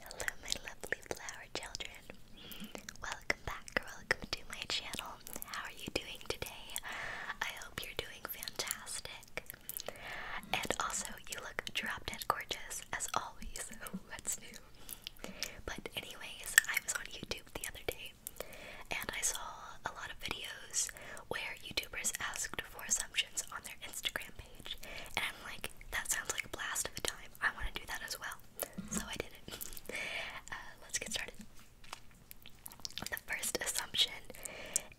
Hello, my lovely flower children. Welcome back, welcome to my channel. How are you doing today? I hope you're doing fantastic. And also, you look drop dead gorgeous as always. Oh, what's new? But, anyways, I was on YouTube the other day and I saw a lot of videos where YouTubers asked for some on their Instagram page. And I'm like, that sounds like a blast of a time. I want to do that as well. So I did it. Uh, let's get started. The first assumption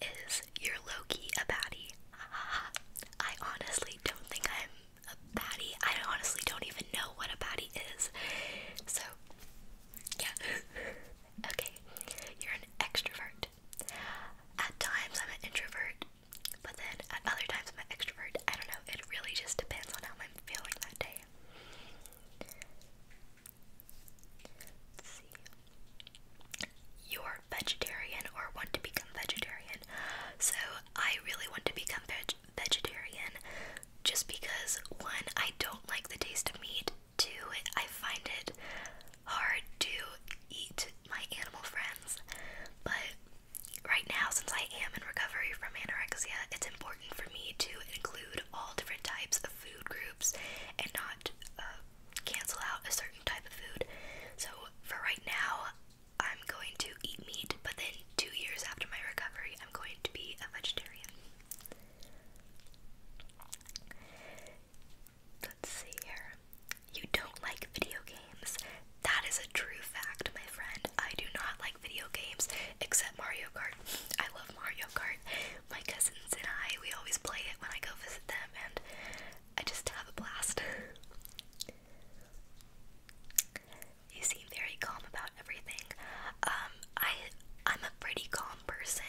is you're low key a baddie. Uh, I honestly don't think I'm a baddie. I honestly don't even know what a baddie is. So, yeah. okay, you're an extrovert. At times I'm an introvert, but then at other times I'm an extrovert. I don't know, it really just depends on how I'm feeling that day. You're vegetarian or want to become vegetarian. So I really want to become vegetarian just because one, I don't like the taste of meat, to I find it hard to eat my animal friends, but right now, since I am in recovery from anorexia, it's important for me to include all different types of food groups and not uh, cancel out a certain type of food. So, for right now, I'm going to eat meat, but then two years after my recovery, I'm going to be a vegetarian. Let's see here. You don't like video games. That is a true fact, my friend. I do not like video games except Mario Kart. I love Mario Kart. My cousins and I, we always play it when I go visit them, and I just have a blast. you seem very calm about everything. Um, I I'm a pretty calm person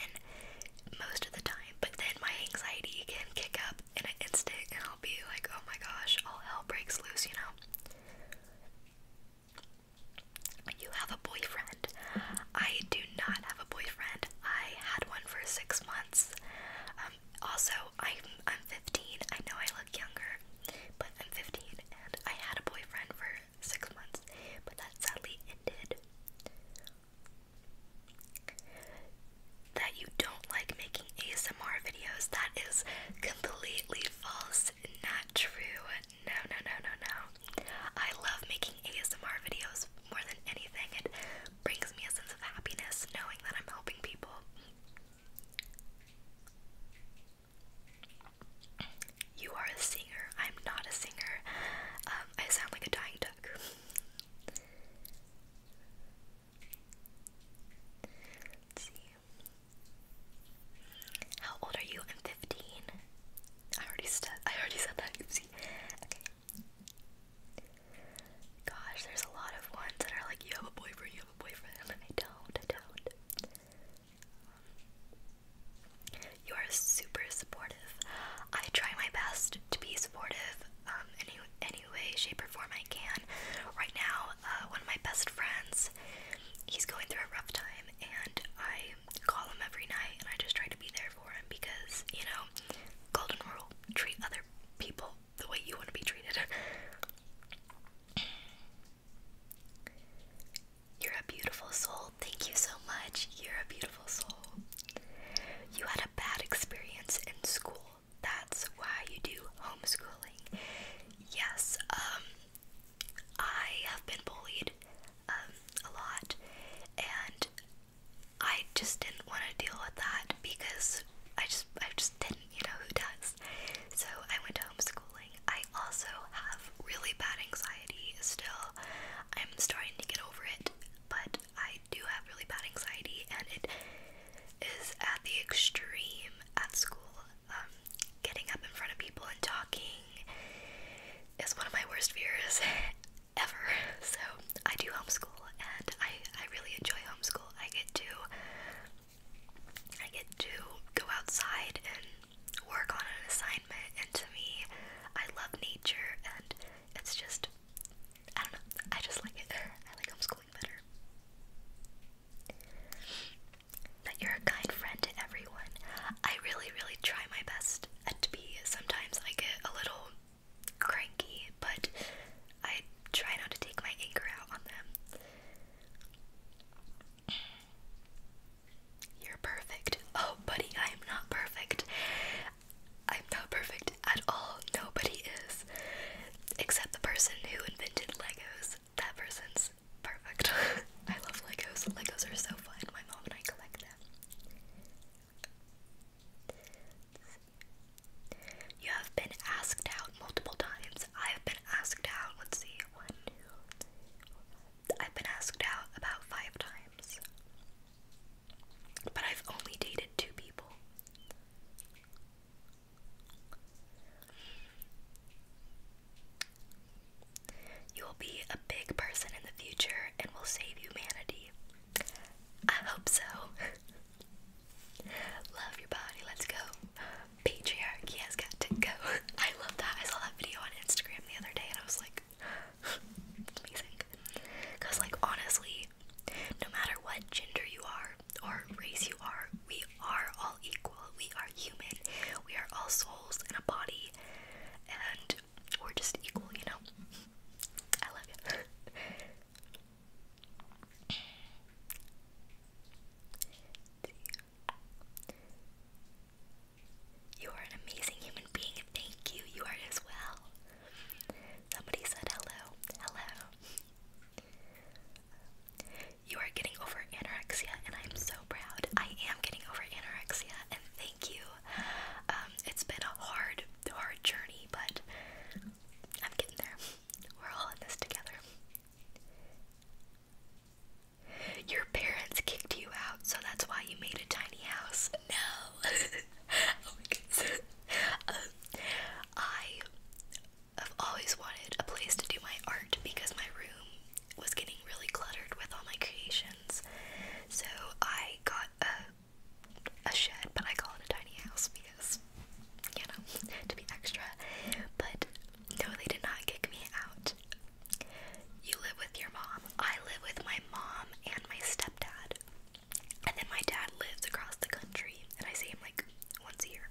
most of the time, but then my anxiety can kick up in an instant and I'll be like, oh my gosh, all hell breaks loose, you know? You have a boyfriend. I do not have a boyfriend. I had one for six months. Um, also, I'm, I'm 15. I know I look younger, but I'm 15 and I had a boyfriend for six months, but that sadly ended that you don't like making ASMR videos. That is completely false, not true. No, no, no, no, no. I love making ASMR videos more than anything. It brings me a sense of happiness knowing that I'm helping people. You are a singer. I'm not a singer. Um, I sound like a dying так. Let's see. How old are you? I'm 15. I already said I already said that. Oopsie. Okay. Gosh, there's a lot of ones that are like, you have a boyfriend, you have a boyfriend. I don't, I don't. Um, you are super supportive. I try my best to be supportive in um, any, any way, shape, or form I can. Right now, uh, one of my best friends, he's going through a rough time, and I call him every night, and I just try to be there for him because, you know, golden rule, treat other people the way you want to be treated. You're a beautiful soul, Thank you so much. You're a beautiful soul. You had a bad experience in school. That's why you do homeschooling. Yes, um, I have been bullied um, a lot, and I just didn't want to deal with that because I just I just didn't, you know, who does? So I went homeschooling. I also have really bad anxiety still. I'm starting to get over it but I do have really bad anxiety, and it is at the extreme at school. Um, getting up in front of people and talking is one of my worst fears ever. So I do homeschool, and I I really enjoy homeschool. I get to I get to go outside and work on an assignment, and to me, I love nature and it's just I don't know, I just like it. I like homeschooling better. That you're a kind friend to everyone. I really, really try my best to be. Sometimes I get a little cranky, but I try not to take my anger out on them. You're perfect. Oh, buddy, I am not perfect. I'm not perfect at all. Nobody is. Except the person who invented Legos. That person's perfect. I love Legos. Legos are so fun. My mom and I collect them. You have been asked out multiple times. I have been asked out. Let's see. One, two, three, four, five, I've been asked out about five times. But I've only dated two people. You will be a big person in the future and will save humanity. I hope so. love your body, let's go. Patriarchy has got to go. I love that. I saw that video on Instagram the other day and I was like, like amazing. Cause like honestly, no matter what gender you are or race you are, we are all equal. We are human. We are all souls in a body, and we're just equal. You know. I love you. You are an amazing human being, thank you. You are as well. Somebody said hello. Hello. You are getting over anorexia, and I'm so proud. I am getting over anorexia, and thank you. Um, it's been a hard, hard journey, but I'm getting there. We're all in this together. Your parents kicked you out, so that's why you made a tiny house. No. Oh um, I have always wanted a place to do my art because my room was getting really cluttered with all my creations. So I got a a shed, but I call it a tiny house because you know, to be extra. But no, they did not kick me out. You live with your mom. I live with my mom and my stepdad. And then my dad lives across the country, and I see him like once a year.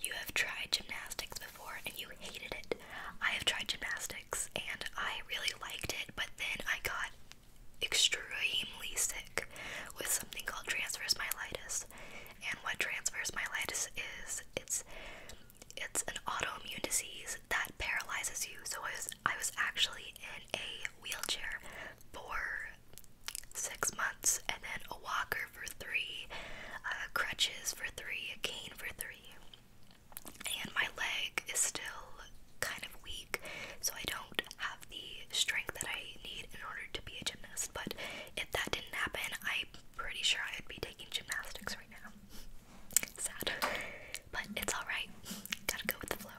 You have tried gymnastics before and you hated it. I have tried gymnastics and I really liked it, but then I got extremely sick with something called transverse myelitis. And what transverse myelitis is, it's it's an autoimmune disease that paralyzes you. So I was I was actually in a wheelchair for six months, and then a walker for three, uh, crutches for three, a cane for three, and my leg is still kind of weak, so I don't have the strength that I need in order to be a gymnast. But if that didn't happen, I'm pretty sure I would be taking gymnastics right now. Sad. But it's alright. Gotta go with the flow.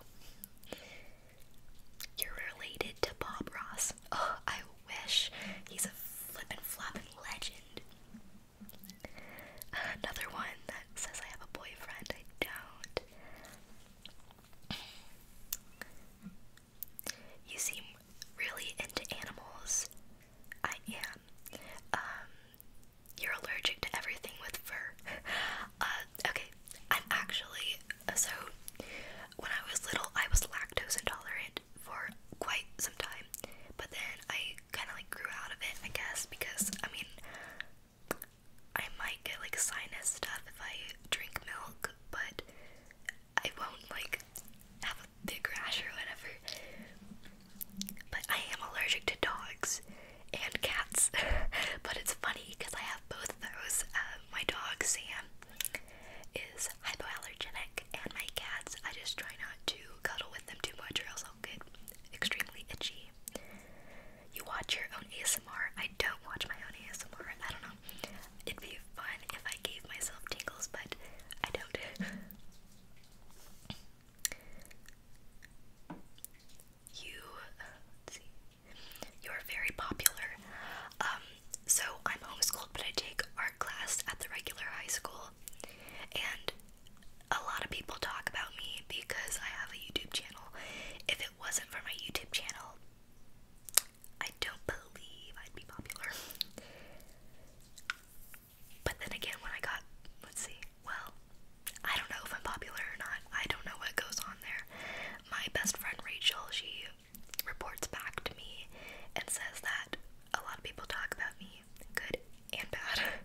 You're related to Bob Ross. Oh, I wish. He's a flippin' floppin' legend. Another one that says I have a boyfriend. I don't. You seem really into animals. I am them. Um, you're allergic to everything with fur. Uh, okay, I'm actually uh, so when I was little, I was lactose intolerant for quite some time, but then I kind of like grew out of it, I guess, because I mean, I might get like sinus stuff if I drink milk, but I won't like have the grass or whatever. But I am allergic to dogs and cats. but it's funny because I have both of those. Uh, my dog Sam is hypoallergenic, and my cats. I just try not to cuddle with them too much, or else I'll get extremely itchy. You watch your own ASMR. I don't watch my own ASMR. I don't know. It'd be fun if I gave myself tingles, but I don't. You, you're very popular. Um, so I'm homeschooled, but I take art class at the regular high school, and a lot of people talk about me because I have a YouTube channel. If it wasn't for my YouTube channel, I don't believe I'd be popular. But then again, when I got, let's see, well, I don't know if I'm popular or not. I don't know what goes on there. My best friend Rachel, she reports back to me and says that a lot of people talk about me, good and bad.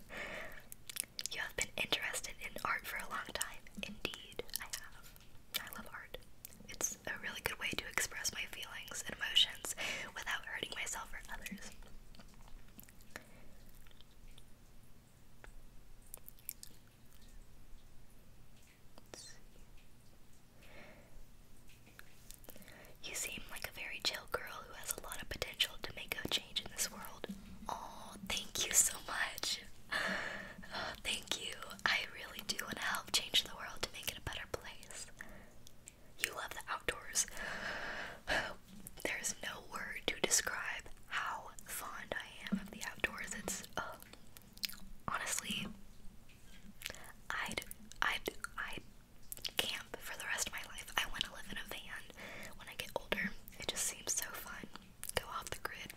you have been interested in art for a long time. Indeed, I have. I love art. It's a really good way to express my feelings and emotions without hurting myself or others. You seem like a very chill girl who has a lot of potential to make a change in this world. Oh, thank you so much. thank you. I really do want to help change the world to make it a better place. You love the outdoors. There's no word to describe how fond I am of the outdoors. It's uh, honestly, I'd I'd I'd camp for the rest of my life. I want to live in a van when I get older. It just seems so fun. Go off the grid.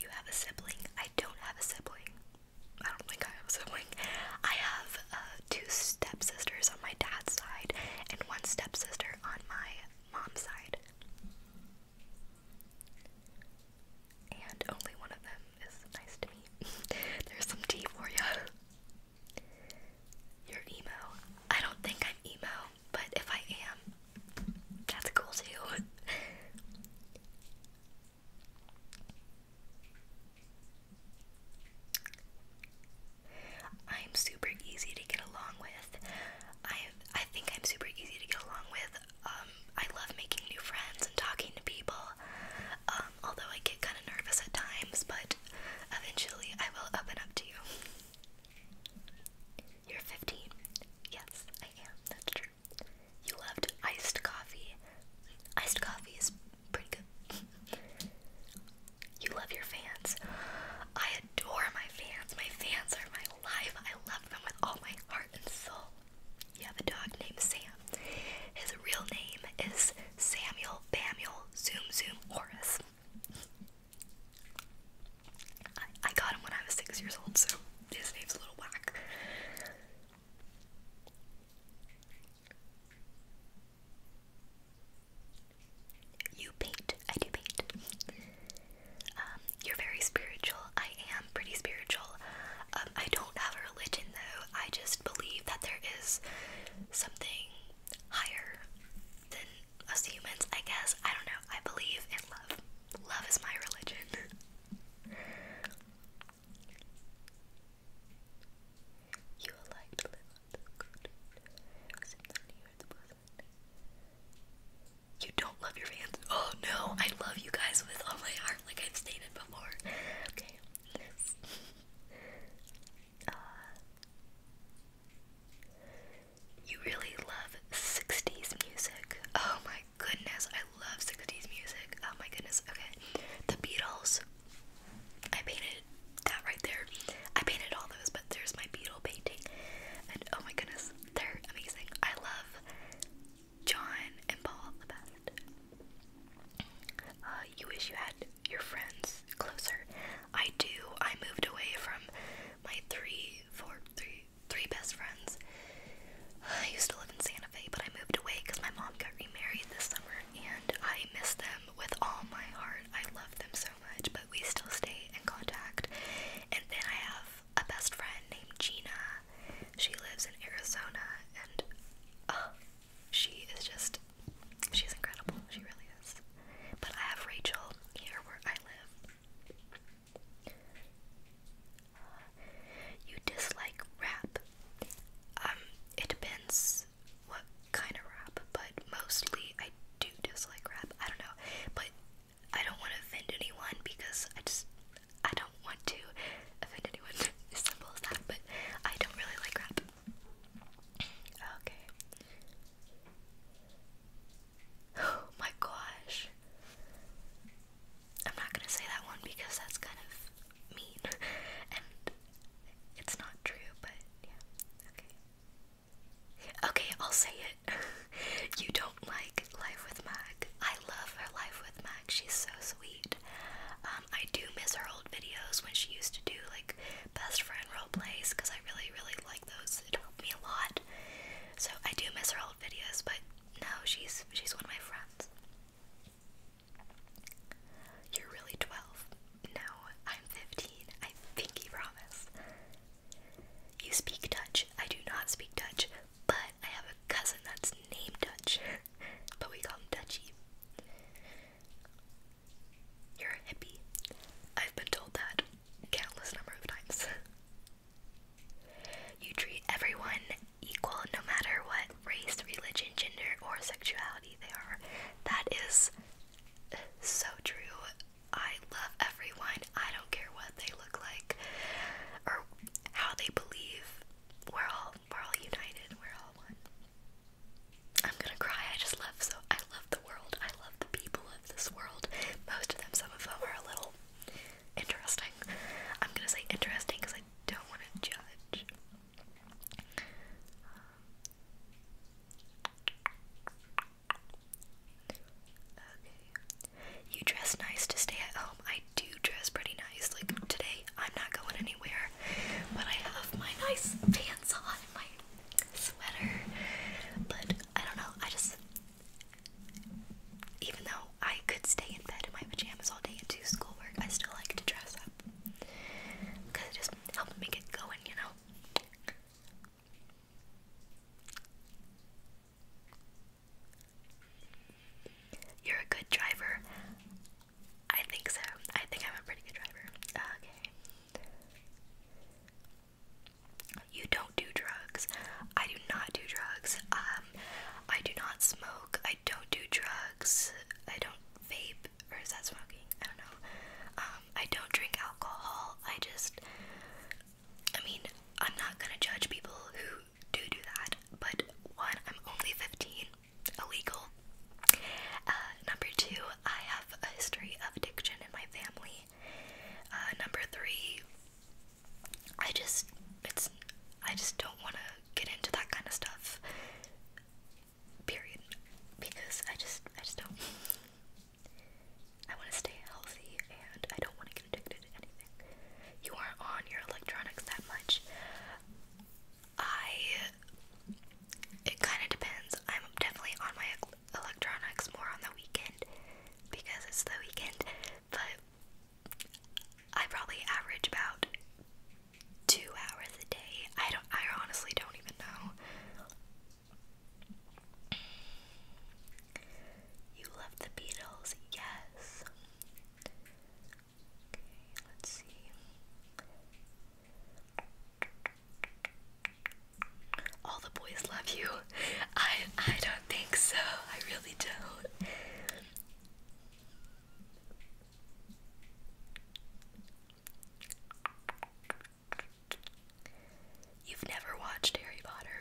You have a sibling. I don't have a sibling. I don't think I have a sibling. I have two stepsisters on my dad's side and one stepsister on my mom's side. And only one of them is nice to me. There's some tea for ya. You're emo. I don't think I'm emo, but if I am, that's cool too. I'm super easy to get along with. I I think I'm super easy to get along with. Um, I love making new friends and talking to people. Um, although I get kind of nervous at times, but eventually I will open up to you. You're 15. Yes, I am. That's true. You loved iced coffee. Iced coffee is pretty good. you love your fans. I adore my fans. My fans are my life. I love them with all my heart and soul. You have a dog named Sam. His real name is Samuel Bamuel Zoom Zoom Horace. I got him when I was six years old, so his name's a little whack. You paint. I do paint. Um, you're very spiritual. I am pretty spiritual. Um, I don't have a religion though. I just believe that there is something higher than us humans, I guess. I don't know. I believe in love. Love is my religion. You will like to live on this crude. You don't love your fans. Oh no, I love you guys with all my heart, like I've stated before. Okay. Uh, you really love 60s music. Oh my goodness, I love 60s music. Oh my goodness. Okay. The Beatles. I painted that right there. I painted all those, but there's my Beatle painting. And oh my goodness, they're amazing. I love John and Paul the best. Uh, you wish you had your friends closer. I do. I moved away from my three, four, three, three best friends. I used to live in Santa Fe, but I moved away because my mom got remarried this summer, and I miss them with all my heart. I love them so much, but we still stay in contact. And then I have a best friend named Gina. She lives in Arizona, and she is just, she's incredible. She really is. But I have Rachel here where I live. You dislike rap. Um, it depends what kind of rap, but mostly I do dislike rap. I don't know, but I don't want to offend anyone because I just I don't want to offend anyone. as simple as that. But I don't really like rap. Okay. Oh my gosh. I'm not gonna say that one because that's kind of mean and it's not true, but yeah, okay. Okay, I'll say it. you don't like Life with Mac. I love her Life with Mag. She's so sweet. Um, I do miss her old videos when she used to do like best friend role plays because I really, really like those. It helped me a lot. So I do miss her old videos, but no, she's she's one of my friends. You're really 12. No, I'm 15. I think pinky promise. You speak Dutch. I do not speak Dutch, but I have a cousin that's named Dutch, but we call him Dutchy. You're a hippie. I've been told that countless number of times. You treat everyone equal no matter what race, religion, gender, or sexuality they are. That is so true. I love everyone. I don't care what they look like or how they believe. We're all we're all united. We're all one. I'm gonna cry. I just love so I love the world. I love the people of this world. Most of them, some of them are a little interesting. I'm gonna say interesting because I don't want to judge. Okay. You dress nice to stay at home. I do dress pretty nice. Like today, I'm not going anywhere, but I have my nice pants on my sweater. But I don't know. I just even though I could stay in bed in my pajamas all day and do schoolwork, I still like to dress up because it just helps me get going, you know. You're a good driver. I think so. I think I'm a pretty good driver. Okay. You don't do do drugs. I do not do drugs. Um, I do not smoke. I don't do drugs. I don't vape, or is that smoking? I don't know. Um, I don't drink alcohol. I just, I mean, I'm not gonna judge people who do do that. But one, I'm only 15, illegal. Uh, number two, I have a history of addiction in my family. Uh, number three, I just it's I just don't want to get into that kind of stuff. Period. Because I just I just don't I want to stay healthy and I don't want to get addicted to anything. You aren't on your electronics that much. I it kind of depends. I'm definitely on my electronics more on the weekend because it's the weekend, but I probably average about two hours a day. I don't I honestly don't even know. You love the Beatles, yes. let's see. All the boys love you. I I don't think so. I really don't. You've never watched Harry Potter.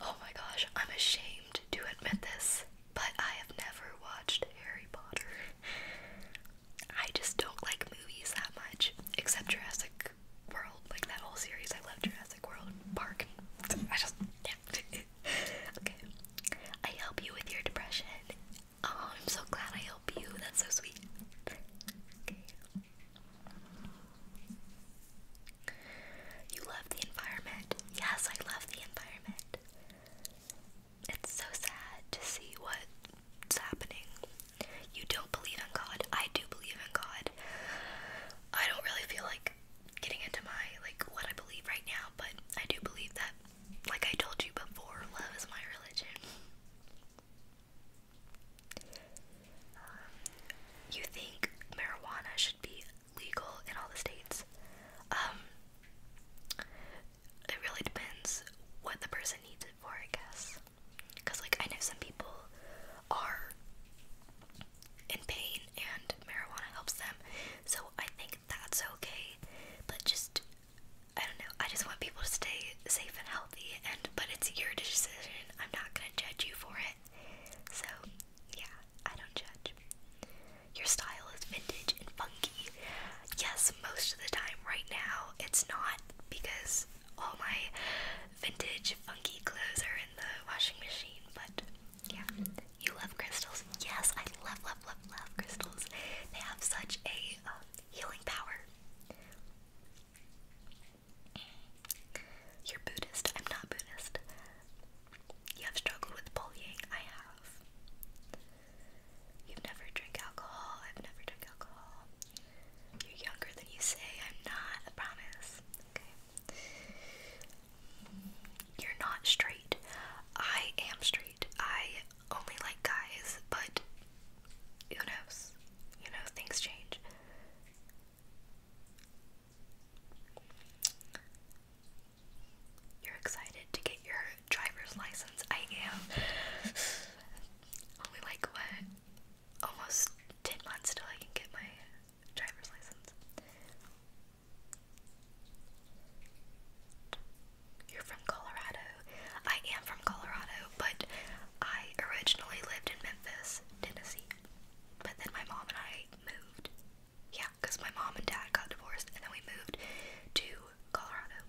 Oh my gosh, I'm ashamed to admit this, but I have never watched Harry Potter. I just don't like movies that much, except Jurassic world, like that whole series. I love Jurassic World Park. I just okay. I help you with your depression. Oh, I'm so glad I help you. That's so sweet. You love the environment. Yes, I love the environment. It's so sad to see what's happening. You don't believe in God. I do believe in God. I don't really feel like getting into my like what I believe right now, but I do believe that like I told you before, love is my religion. Um, you think marijuana should be legal in all the states? Um, it really depends what the person needs it for, I guess. Cuz like I know some people are in pain and marijuana helps them. So I think that's okay. But just I don't know. I just want people to stay safe and healthy and but it's your decision. I'm not going to judge you for it. So, yeah, I don't judge. Your style is vintage and funky. Yes, most of the time right now it's not because all my vintage funky clothes are in the washing machine, but yeah. You love crystals? Yes, I love, love, love, love crystals. They have such a um, healing power. You're Buddhist. I'm not Buddhist. You have struggled with bullying. I have. You've never drink alcohol. I've never drink alcohol. You're younger than you say. I'm not. I promise. Okay. You're not straight. I am straight. I only like guys, but who knows? You know, things change. You're excited to get your driver's license. I am. Only like what? almost 10 months till I can get my driver's license. You're from Colorado. I am from Colorado, but I originally lived in Memphis, Tennessee. But then my mom and I moved. Yeah, because my mom and dad got divorced, and then we moved to Colorado.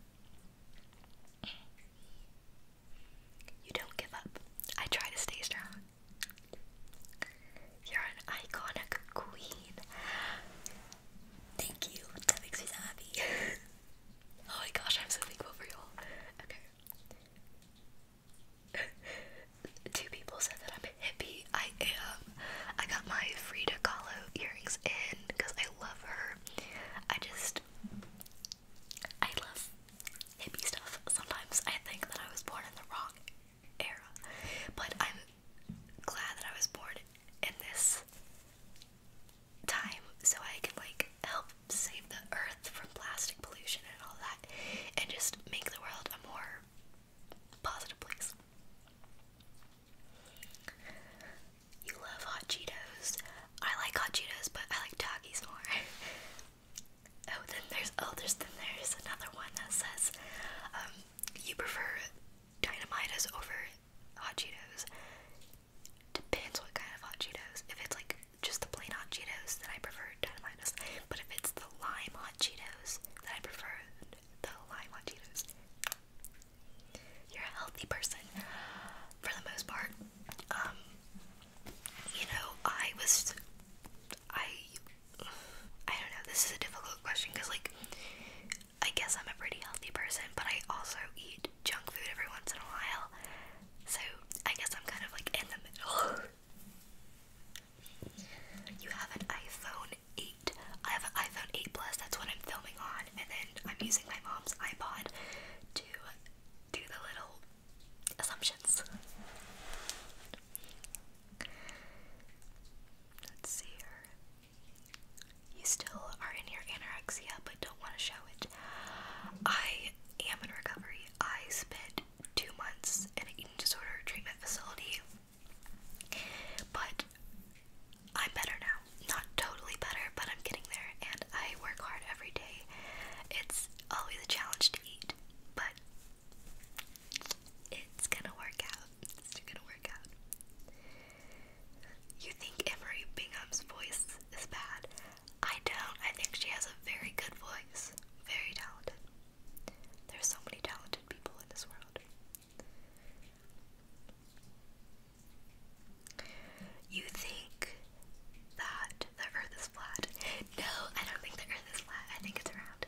You don't give up. I try to stay strong. You're an iconic queen. Thank you. That makes me happy. oh my gosh, I'm so thankful for y'all. Okay. Two people said that I'm hippie. I am. I got my Frida Kahlo earrings in because I love her. I just. I love hippie stuff. Sometimes I think that I was born in the wrong era, but I'm glad that I was born in this time so I can like help save the earth from plastic pollution and all that and just make the world a more positive place. You love hot Cheetos. I like hot Cheetos, but I like Takis more. Oh, then there's oh, there's then there's another one that says, um, you prefer dynamites over hot Cheetos. Depends what kind of hot Cheetos. If it's like just the plain hot Cheetos, then I prefer dynamites. But if it's the lime hot Cheetos, then I prefer the lime hot Cheetos. You're a healthy person for the most part. Um, you know, I was, I, I don't know, this is a difficult question because, like, I guess I'm a pretty healthy person, but I also eat junk food every once in a while, so I guess I'm kind of like in the middle. you have an iPhone 8. I have an iPhone 8 Plus, that's what I'm filming on, and then I'm using my mom's iPod to do the little assumptions. Let's see here. You still are in your anorexia but don't want to show it. I am in recovery. I spent two months in an eating disorder treatment facility. But I'm better now. Not totally better, but I'm getting there and I work hard every day. It's always a challenge to eat, but it's gonna work out. It's gonna work out. You think Emery Bingham's voice is bad? I don't. I think she has a very good voice. Very talented. There's so many talented people in this world you think that the earth is flat. No, I don't think the earth is flat. I think it's round.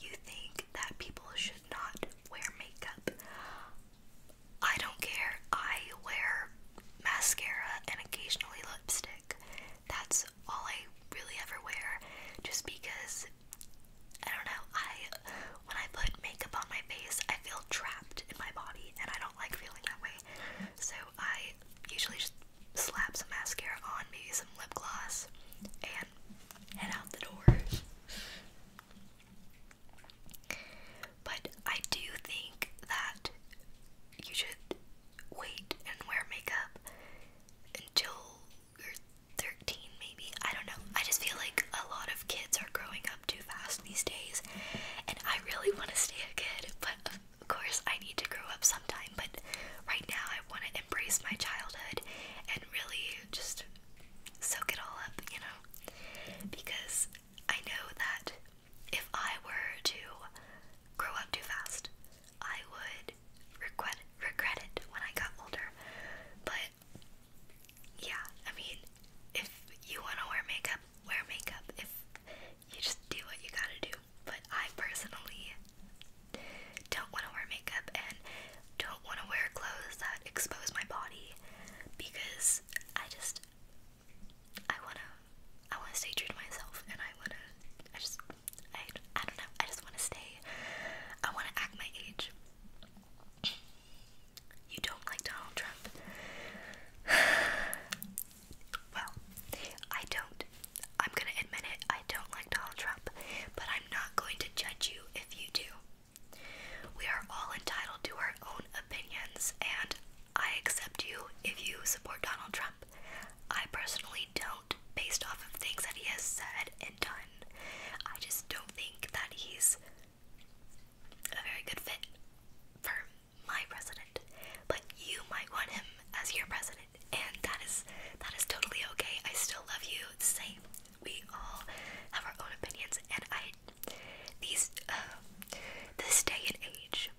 You think that people should not wear makeup. I don't care. I wear mascara and occasionally lipstick. That's all I really ever wear just because I don't know. I when I put makeup on my face, I feel trapped in my body, and I don't like feeling that way. So I usually just slap some mascara on, maybe some lip gloss, and head out the door. But I do think that you should wait and wear makeup until 13, maybe. I don't know. I just feel like a lot of kids are growing too fast these days, and I really want to stay a kid, but of course I need to grow up sometime. But right now, I want to embrace my childhood and really just soak it all up, you know? Because I know that if I were to grow up too fast, I would regret regret it when I got older. But yeah, I mean, if you want to wear makeup, wear makeup. If you just do what you gotta do. But I personally don't want to wear makeup and don't want to wear clothes that expose my body because I just I wanna I wanna stay true to myself and I wanna I just I I don't know I just wanna stay I wanna act my age. You don't like Donald Trump? well, I don't. I'm gonna admit it, I don't like Donald Trump, but I'm not going to judge you if you do. We are all entitled to our own opinions, and I accept you if you support Donald Trump. I personally don't, based off of things that he has said and done. I just don't think that he's a very good fit for my president, but you might want him as your president, and that is that is totally okay. I still love you the same. We all have our own opinions, and I these uh, this day and age,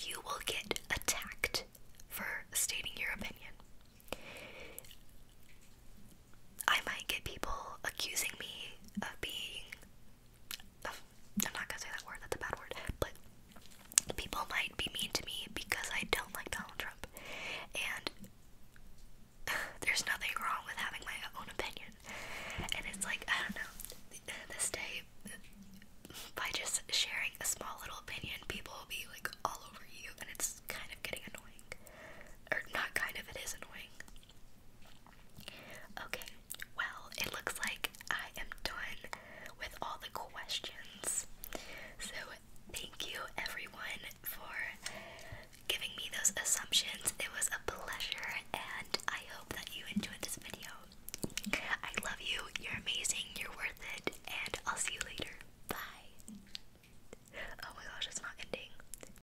you will get attacked for stating your opinion. I might get people accusing me of being. I'm not gonna say that word, that's a bad word, but people might be mean to me because I don't like Donald Trump. And there's nothing wrong with having my own opinion. And it's like, I don't know, this day, by just sharing a small little opinion, people will be like all over you, and it's kind of getting annoying. Or not kind of, it is annoying. Okay, well, it looks like I am done with all the questions. So, thank you everyone for giving me those assumptions. It was a pleasure, and I hope that you enjoyed this video. I love you, you're amazing, you're worth it, and I'll see you later. Bye. Oh my gosh, it's not ending.